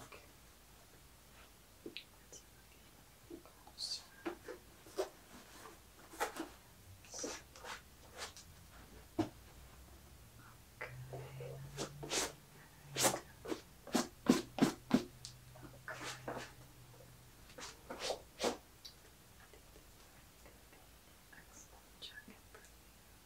Okay. Let's get closer. Okay. Right. Okay. I think this is going to be an excellent jacket for you.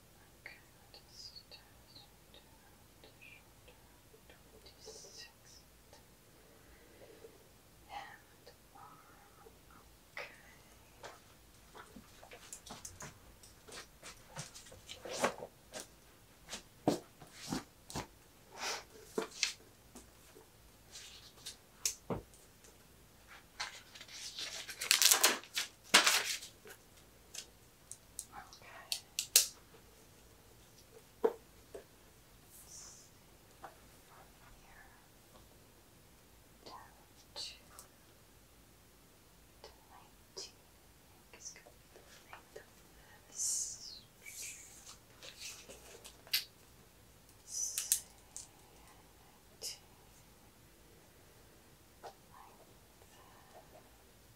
Okay, just down to shoulder, twenty-sixth and arm. Um, okay. Okay. Okay. Down to, to 19, I think is going to be the length of this. Let's see that.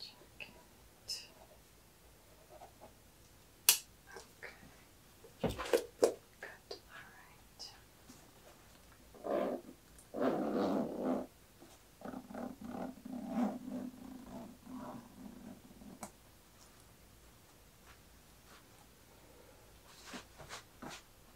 Okay. Good. Alright.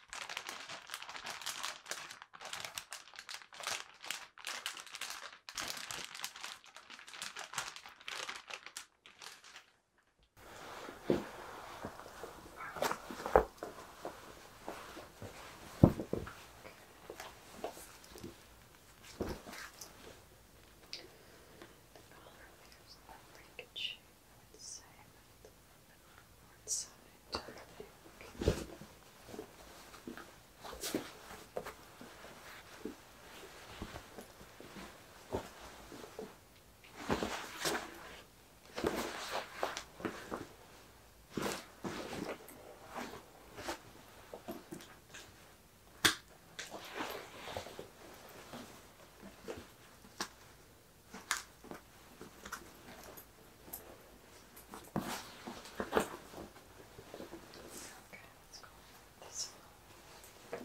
The collar wears a Frank and would say, the one side, I think. Okay. Okay, let's go this one. I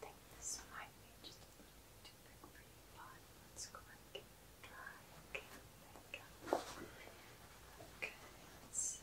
think this might be just a little too big for you, but let's go and try. Okay,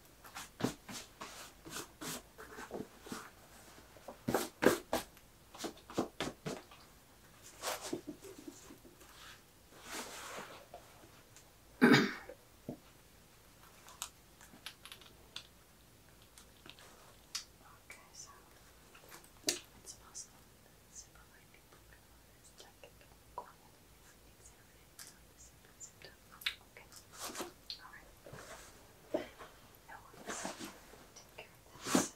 Okay, so it smells like people can always check it, this is Okay. Alright. No worries. Take care of this. Okay.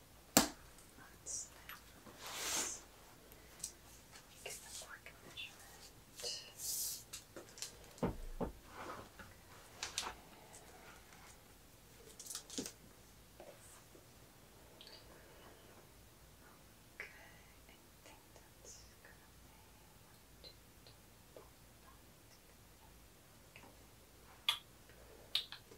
Let's this. Get Okay. I think that's gonna be one, two, three, four, five, six, seven, eight.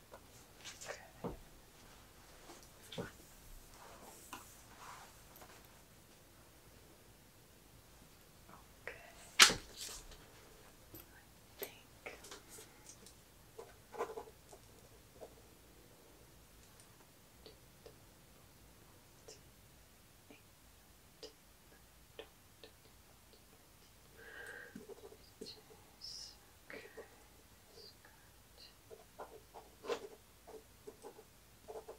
Okay. Okay. I think Eight, Okay, that's let's go ahead and change out the cord and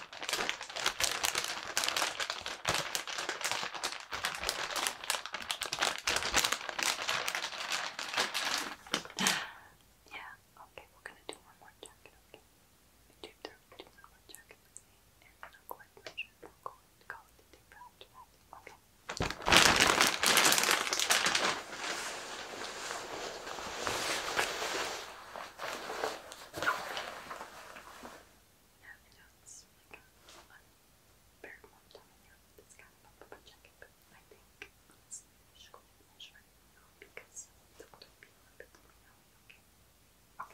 yeah, okay, we're gonna do one more jacket, okay? Do, do, do one more jacket with me, and then I'll go ahead and measure we'll go and call it a day after that, okay? Okay, yeah, you know, like a very long time in Europe. It's kind of a jacket, but I think honestly because it a little bit okay. Okay. Let's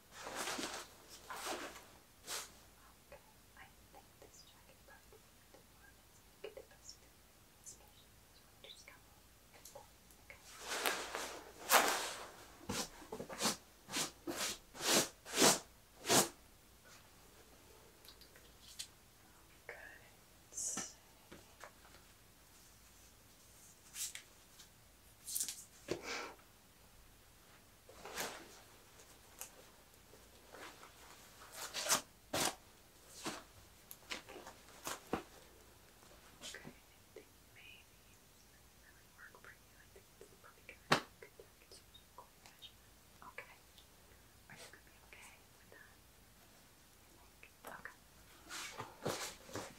I think this jacket probably would the make the best especially as winter's coming. Okay. Okay, let Okay, I think maybe that would work for you. I think this probably gonna be good. I can cool Okay. Are you gonna be okay with that? Okay.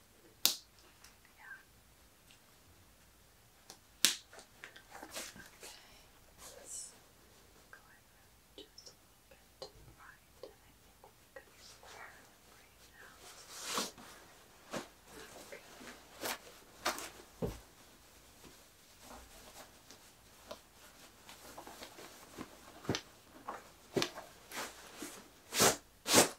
Yeah. Okay, let's go over just a little bit right, and I think we could start right now. Okay. Okay.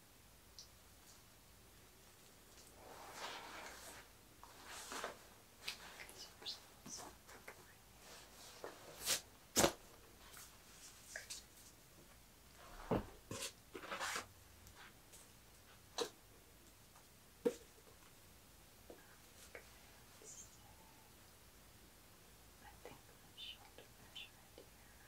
I think I should measure it here.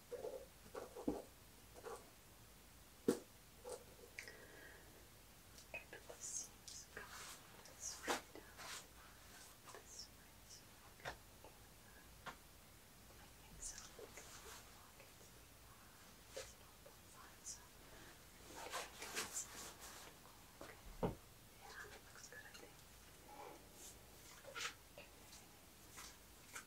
And the seams come this way down, this way, so you can I think so, because the pockets are it's not that fine, so I think it's okay. Yeah, it looks good, I think. Okay.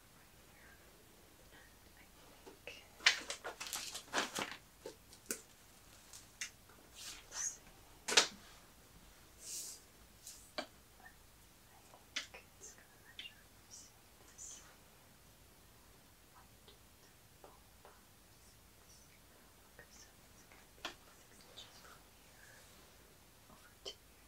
one right here. And I think let's see. I think it's gonna measure from sea to sea. One, two, three, four, five, six. Okay, so it's gonna be six inches from here over to here.